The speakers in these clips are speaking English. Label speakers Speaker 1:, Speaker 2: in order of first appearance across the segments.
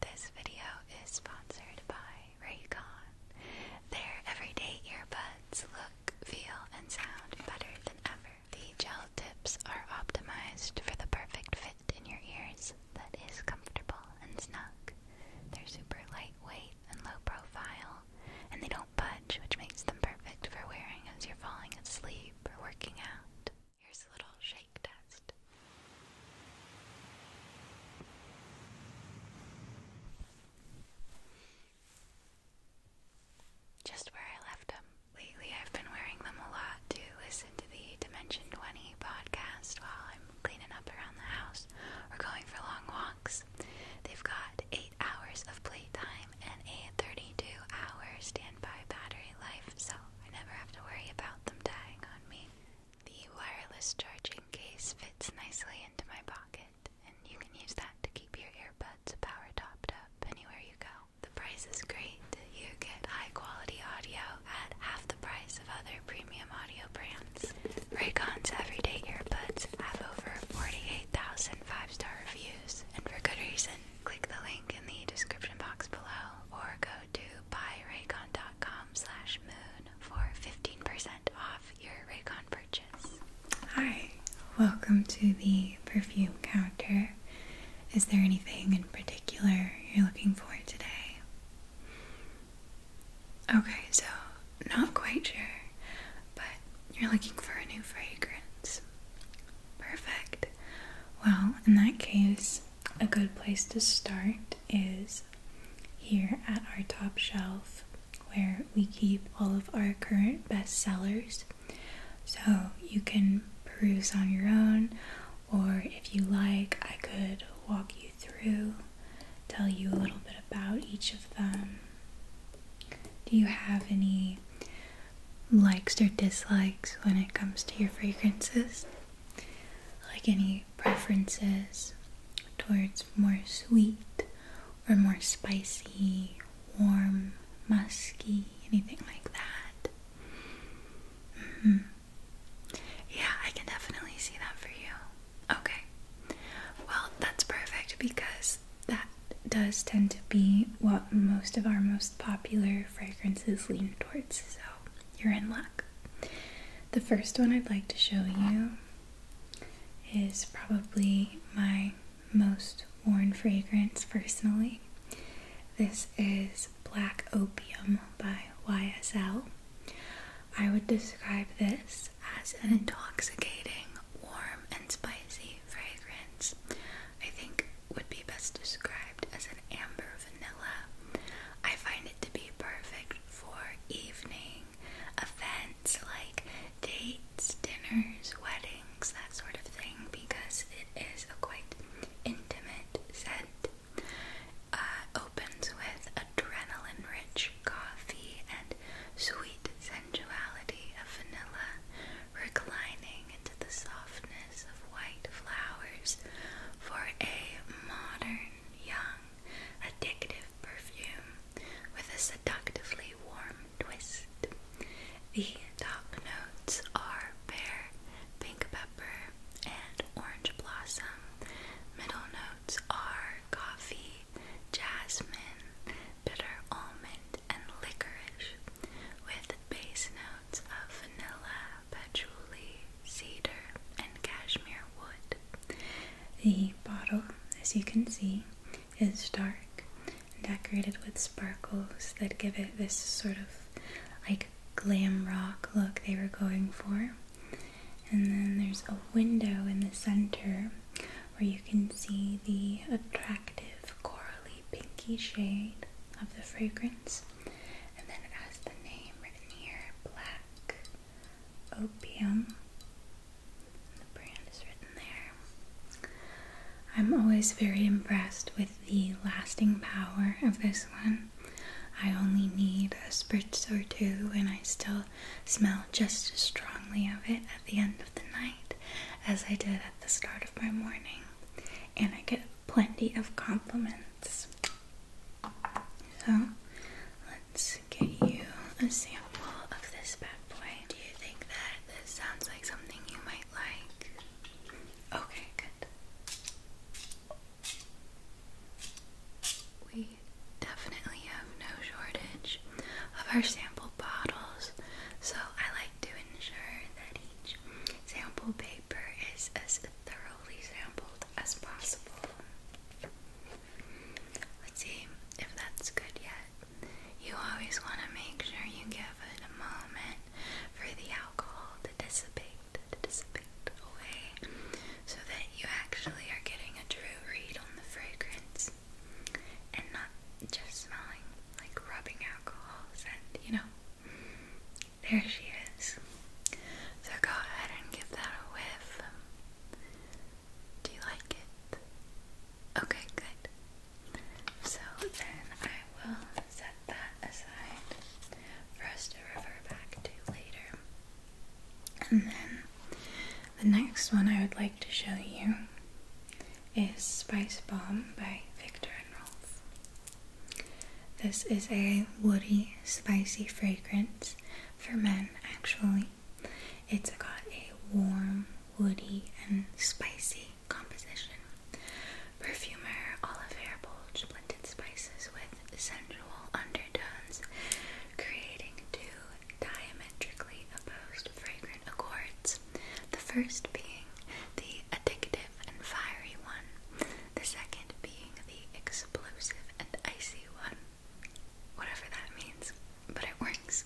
Speaker 1: This video is sponsored by Raycon. Their everyday earbuds look, feel, and sound better than ever. The gel tips are optimized for the perfect fit in your ears that is comfortable and snug. They're super lightweight and low profile, and they don't budge, which makes them perfect for wearing as you're falling asleep or working out. Here's a little shake test. Just where I left them. Lately, I've been wearing them a lot to listen to the Dimension 20 podcast while I'm cleaning up around the house or going for long walks. They've got 8 hours of playtime and a 32 hour standby battery life, so I never have to worry about them dying on me. The wireless charging case fits nicely into my pocket, and you can use that to keep your earbuds power topped up anywhere you go. The price is great. You get high quality audio at half the price of other premium audio brands. Raycon's everyday earbuds have over 48,000 five star reviews, and for good reason. Click the link in the description box below or go to buyraycon.com slash moon for 15% off your Raycon purchase. Hi, welcome to the perfume counter. Is there anything in particular you're looking for today? Okay, so not quite sure, but you're looking for a new fragrance. Perfect. Well, in that case, a good place to start is here at our top shelf where we keep all of our current bestsellers. So you can peruse on your own, or if you like, I could walk you through, tell you a little bit about each of them. Do you have any likes or dislikes when it comes to your fragrances? Like any preferences towards more sweet or more spicy, warm, musky, anything like that. Mm-hmm. Yeah, I can definitely see that for you. Okay. Well, that's perfect because that does tend to be what most of our most popular fragrances lean towards. So you're in luck. The first one I'd like to show you is probably my most worn fragrance personally. This is Black Opium by YSL. I would describe this as an intoxicating, warm, and spicy fragrance. I think would be best described as an amber vanilla. I find it to be perfect for evening events like dates, dinners, weddings, that sort of thing, because it is a quite intimate scent. Uh, opens with adrenaline rich coffee and sweet sensuality of vanilla reclining into the softness of white flowers for a modern, young, addictive perfume with a seductively warm twist. The top notes are pear, pink pepper, and orange blossom. Middle notes are coffee, jasmine, bitter almond, and licorice with base notes of vanilla, patchouli, cedar, and cashmere wood. The bottle, as you can see, is dark and decorated with sparkles that give it this sort of like glam rock look they were going for. And then there's a window in the center where you can see the attractive corally pinky shade of the fragrance. And then it has the name written here, Black Opium. The brand is written there. I'm always very impressed with the lasting power of this one. I only need a spritz or two, and I still smell just as strongly of it at the end of the night as I did at the start of my morning. And I get plenty of compliments. So let's get you a sample of this bad boy. Do you think that this sounds like something you might like? Okay, good. We definitely have no shortage of our sample bottles, so I like to ensure that each sample paper is as thoroughly sampled as possible. Let's see if that's good yet. You always want to make sure you give it a moment for the alcohol to dissipate, to dissipate away, so that you actually are getting a true read on the fragrance and not just smelling like rubbing alcohol scent, you know. There she is. So go ahead and give that a whiff. Do you like it? Okay, good. So then I will set that aside for us to refer back to later. And then the next one I would like to show you is Spice Bomb by Victor and Rolf. This is a woody, spicy fragrance for men, actually. It's got a warm, woody, and spicy composition. Perfumer, olive hair bulge, blended spices with sensual undertones, creating two diametrically opposed fragrant accords. The first being the addictive and fiery one, the second being the explosive and icy one, whatever that means, but it works.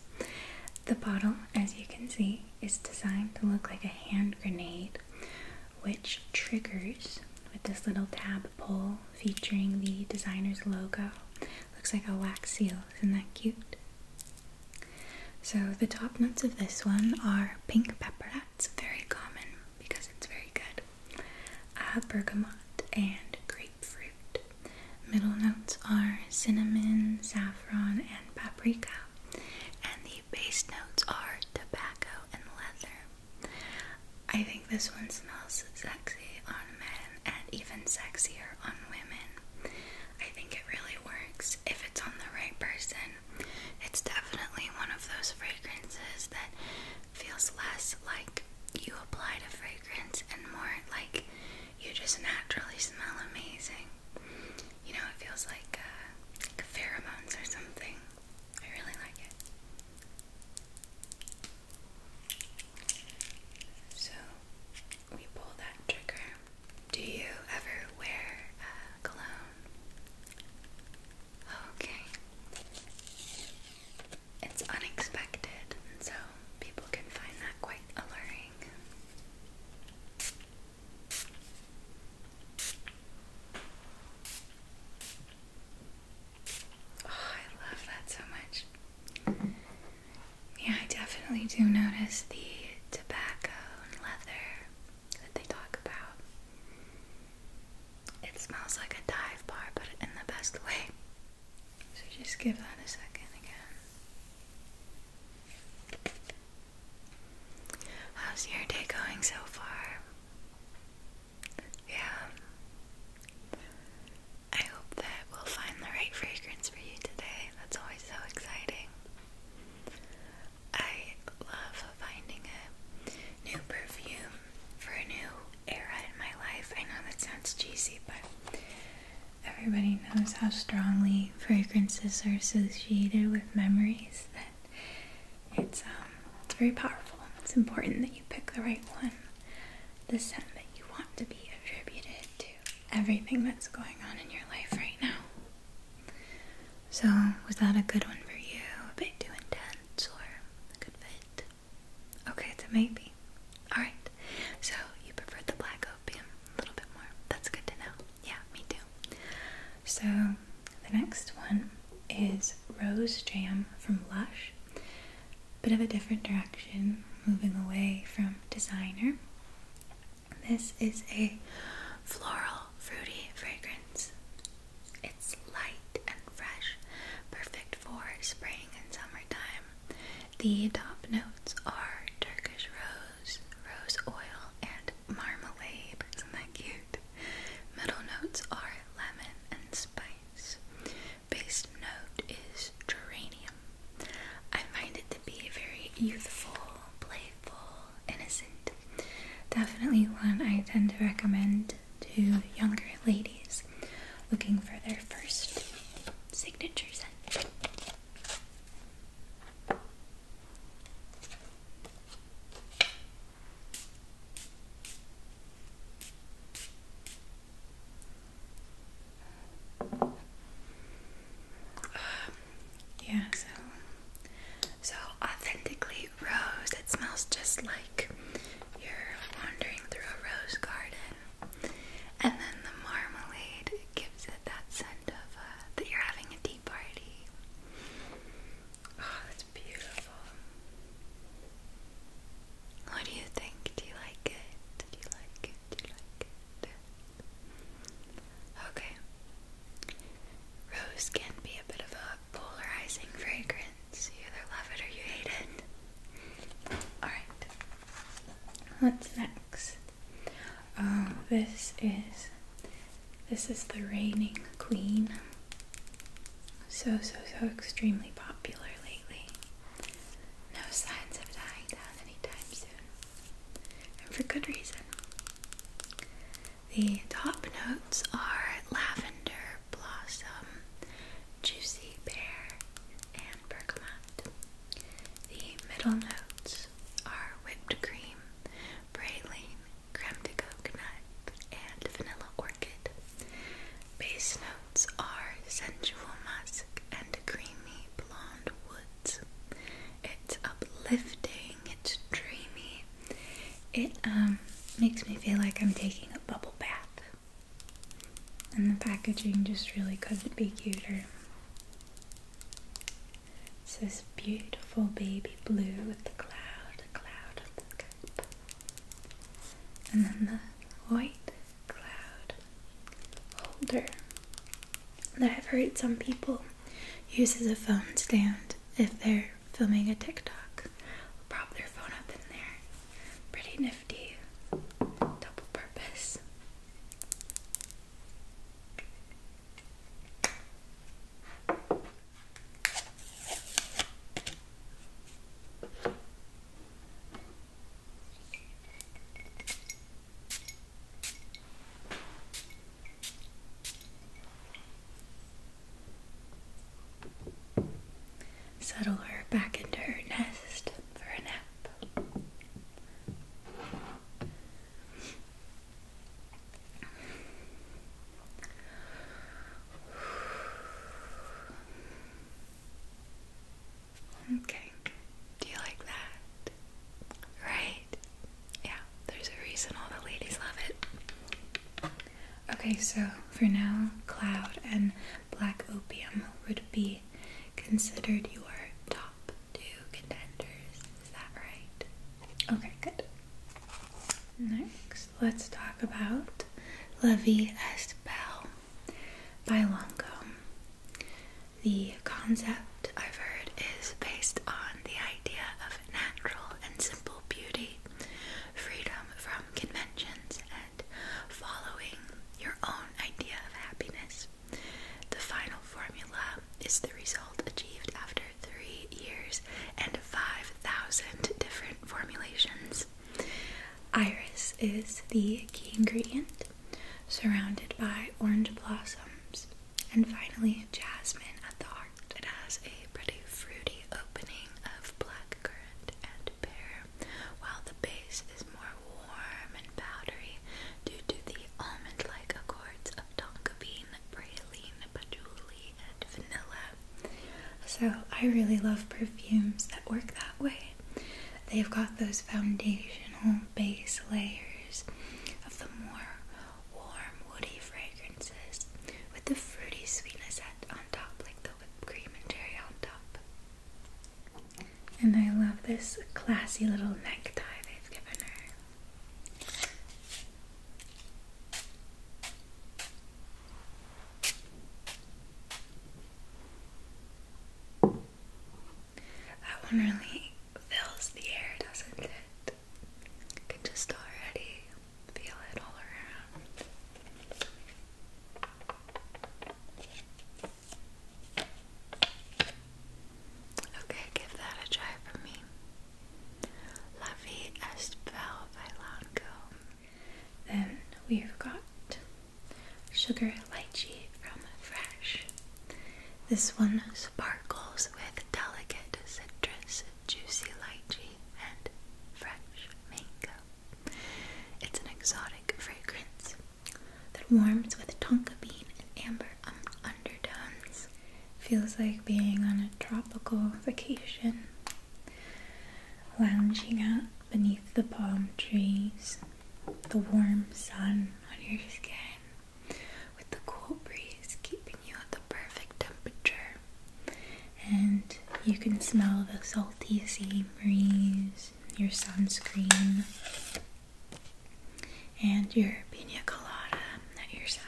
Speaker 1: The bottle, as you can see, is designed to look like a hand grenade, which triggers with this little tab pull featuring the designer's logo. Looks like a wax seal. Isn't that cute? So the top notes of this one are pink pepper. That's very common because it's very good. Uh, bergamot and grapefruit. Middle notes are cinnamon, saffron, and paprika. And the base notes are tobacco and leather. I think this one smells sexy on men and even sexier on women. I think it really works if it's on the right person it's definitely one of those fragrances that feels less like you apply a fragrance and more like you just naturally smell amazing. You know, it feels like, uh, like pheromones or something. I really like it. So we pull that trigger do you ever wear uh, cologne? Okay. It's unexpected, and so people can find that quite alluring. Oh, I love that so much. Yeah, I definitely do notice the tobacco leather that they talk about. It smells like a dive bar, but in the best way. So just give that a second again. How's your day going so far? Yeah. I hope that we'll find the right fragrance for you today that's always so exciting. I love finding a new perfume for a new era in my life. I know that sounds cheesy, but everybody knows how strongly fragrances are associated with memories that it's um it's very powerful. It's important that you pick the right one. The scent that you want to be attributed to everything that's going on in your life right now. So, was that a good one for you? A bit too intense or a good fit? Okay, it's a maybe. Alright, so you prefer the black opium a little bit more. That's good to know. Yeah, me too. So, the next one is Rose Jam from Lush. Bit of a different direction, moving away from designer. This is a floral, fruity fragrance. It's light and fresh, perfect for spring and summertime. The top notes are Turkish rose, rose oil, and marmalade. Isn't that cute? Middle notes are lemon and spice. Base note is geranium. I find it to be very youthful, playful, innocent. Definitely one I tend to recommend to younger ladies looking for their first signature scent yeah, so so authentically rose. It smells just like you're wandering through a rose garden, and then the marmalade gives it that scent of uh, that you're having a tea party. Oh, that's beautiful. What do you think? Do you like it? Do you like it? Do you like it? Okay. Rose can be a bit of a polarizing fragrance. You either love it or you hate it. Alright. What's next? Oh, this is this is the reigning queen. So so so extremely popular lately. No signs of dying down anytime soon and for good reason. The top notes are lavender, blossom, juicy pear, and bergamot. The middle notes are whipped cream, praline, creme de coconut, and vanilla orchid. Base notes are sensual musk and creamy blonde woods. It's uplifting, it's dreamy. It um makes me feel like I'm taking a bubble bath. And the packaging just really couldn't be cuter. It's this beautiful baby blue with the cloud, the cloud of the And then the white cloud holder that I've heard some people use as a phone stand if they're filming a TikTok. Prop their phone up in there. Pretty nifty. Double purpose. Settle her back into her nest for a nap. Okay. Do you like that? Right? Yeah, there's a reason all the ladies love it. Okay, so for now, cloud and black opium would be considered your top two contenders. Is that right? Okay, good. Next, let's talk about Levi S. Bell by Longcomb. The concept I've heard is based on the idea of natural and simple beauty, freedom from conventions, and following your own idea of happiness. The final formula is the result achieved after three years and 5,000 different formulations. Iris is the key ingredient, surrounded by orange blossoms, and finally jasmine at the heart. It has a pretty fruity opening of blackcurrant and pear, while the base is more warm and powdery due to the almond-like accords of tonka bean, praline, patchouli, and vanilla. So I really love perfumes that work that way. They've got those foundational base layers of the more warm, woody fragrances with the fruity sweetness at, on top, like the whipped cream and cherry on top. And I love this classy little necktie they've given her. That one really fills the air, doesn't it? You can just already feel it all around. Okay, give that a try for me. La Vie est Then we've got Sugar lychee from Fresh. This one sparkles with delicate citrus, juicy lychee, and fresh mango. It's an exotic fragrance that warms with tonka bean and amber um, undertones. Feels like being on a tropical vacation, lounging out beneath the palm trees, the warm sun on your skin with the cool breeze keeping you at the perfect temperature. And you can smell the salty sea breeze, your sunscreen, and your pina colada at your side.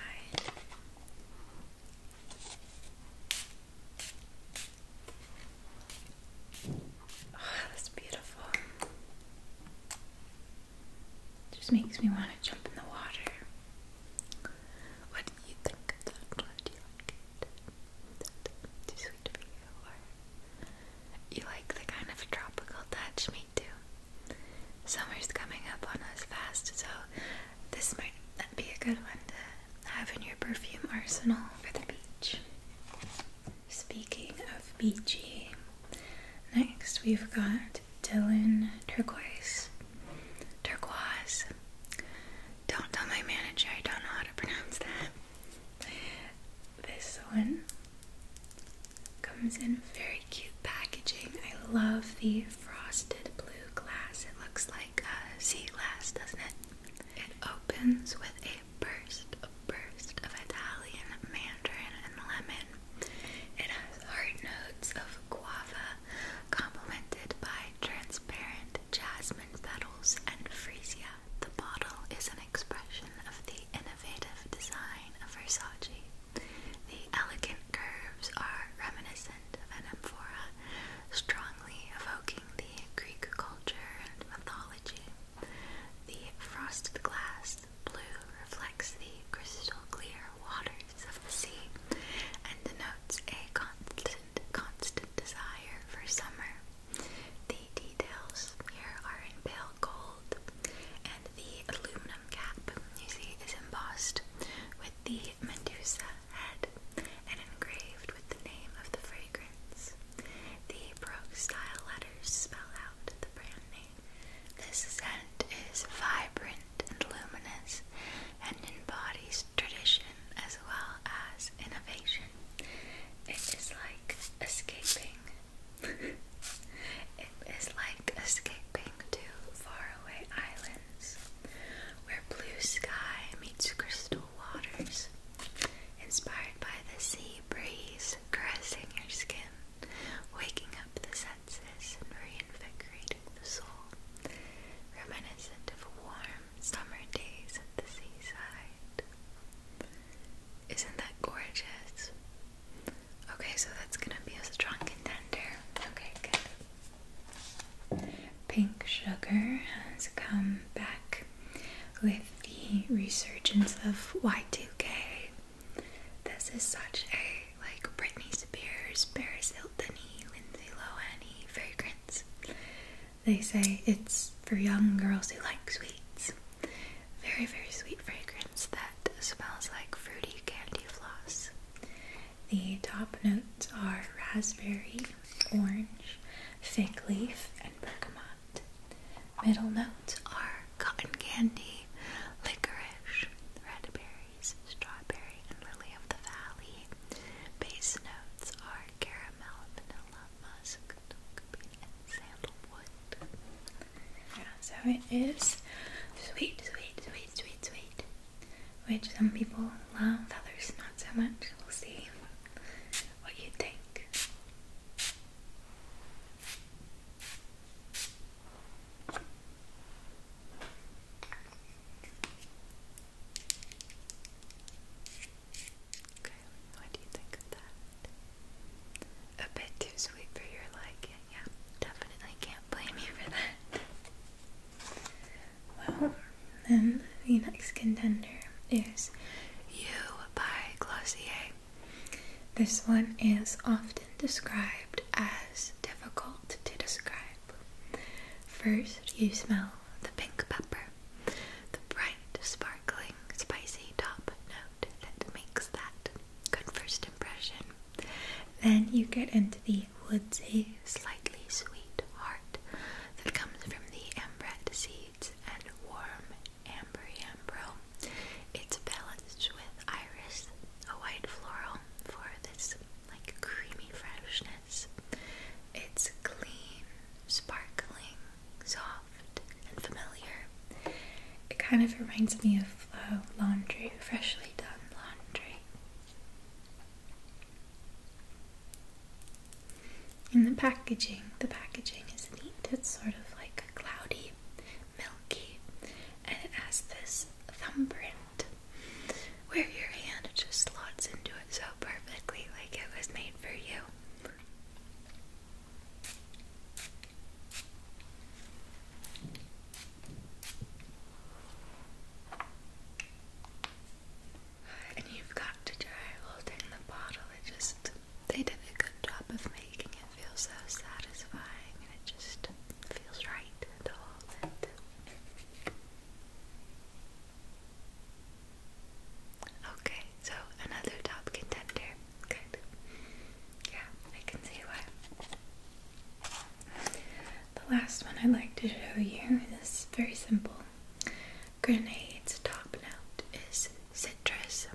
Speaker 1: Oh, that's beautiful. Just makes me want to jump in the water. What do you think of that? Do you like it? Too sweet for you, you like the kind of tropical touch? Me too. Summer's coming up on us fast, so this might be a good one have in your perfume arsenal for the beach. Speaking of beachy, next we've got Dylan Turquoise. Turquoise. Don't tell my manager, I don't know how to pronounce that. This one comes in very cute packaging. I love the frosted blue glass. It looks like a sea glass, doesn't it? It opens with a a burst, a burst of Italian mandarin and lemon. It has hard notes of guava, complemented by transparent jasmine petals and freesia. The bottle is an expression of the innovative design of Versace. The elegant curves are reminiscent of an amphora, strongly evoking the Greek culture mythology. The frosted glass blue reflects the crystal clear waters of the sea and denotes a constant, constant desire for summer. The details here are in pale gold, and the aluminum cap you see is embossed with the Medusa head and engraved with the name of the phrase. The Brogue style letters spell out the brand name. This scent is vibrant and luminous and embodies tradition as well as innovation. It is like escaping. it is like escaping to faraway islands where blue sky meets crystal waters, inspired by the sea breeze caressing your skin, waking up the senses and reinvigorating the soul, reminiscent of warm summer days at the seaside. Isn't that gorgeous? Okay, so that's gonna be a strong contender. Okay, good. Pink sugar has come back with the resurgence of Y2K. This is such a like Britney Spears, Paris Hilton, Lindsay Lohan fragrance. They say it's for young girls who like sweets. Very, very sweet fragrance that smells like fruity candy floss. The top notes are raspberry, orange, fig leaf, and bergamot. Middle notes are cotton candy, licorice, red berries, strawberry, and lily of the valley. Base notes are caramel, vanilla, musk, and sandalwood. Yeah, so it is sweet, sweet, sweet, sweet, sweet, which some people love, others not so much. We'll see see what you think. Okay, what do you think of that? A bit too sweet for your liking, yeah. Definitely can't blame you for that. Well, then the next contender is You by Glossier. This one is often described as difficult to describe. First, you smell the pink pepper, the bright, sparkling, spicy top note that makes that good first impression. Then you get into the woodsy, slightly sweet, heart that comes from the ambrette seeds and warm amber ambro. It's balanced with iris, a white floral, for this like creamy freshness. It's clean, sparkling, soft, and familiar. It kind of reminds me of uh, laundry, freshly done laundry. In the packaging, the packaging is neat. It's sort of like cloudy, milky, and it has this thumbprint where your hand just slots into it so perfectly, like it was made for you. And you've got to try holding the bottle. It just, they did a good job of making it feel so satisfying and it just feels right to hold it. Okay, so another top contender. Good. Yeah, I can see why. The last one I'd like to show you is very simple. Grenade's top note is citrus.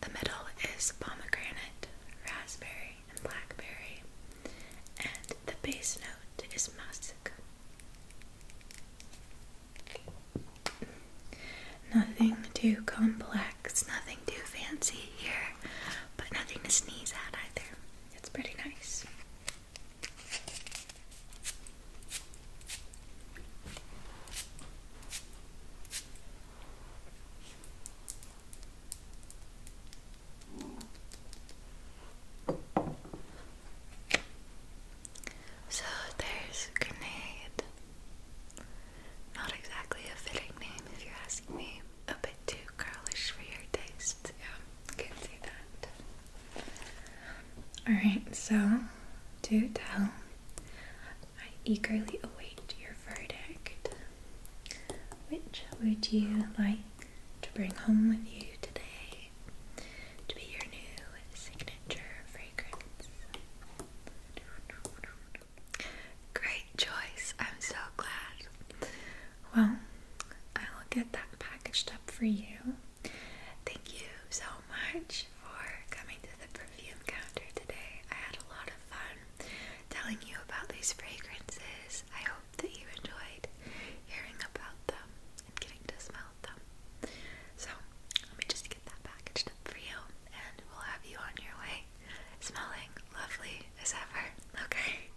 Speaker 1: The middle is pomegranate, raspberry, and blackberry. And the base note is musk. Nothing too complex, nothing too fancy here, but nothing to sneeze at either. It's pretty nice. So there's grenade. Not exactly a fitting name if you're asking me. A bit too girlish for your taste. Yeah, can see that. Alright, so do tell. I eagerly await your verdict. Which would you like to bring home with you today to be your new signature fragrance? Great choice. I'm so glad well, I will get that packaged up for you. Thank you so much for coming to the perfume counter today. I had a lot of fun telling you about these fragrances. I hope that you enjoyed hearing about them and getting to smell them. So, let me just get that packaged up for you and we'll have you on your way smelling lovely as ever. Okay.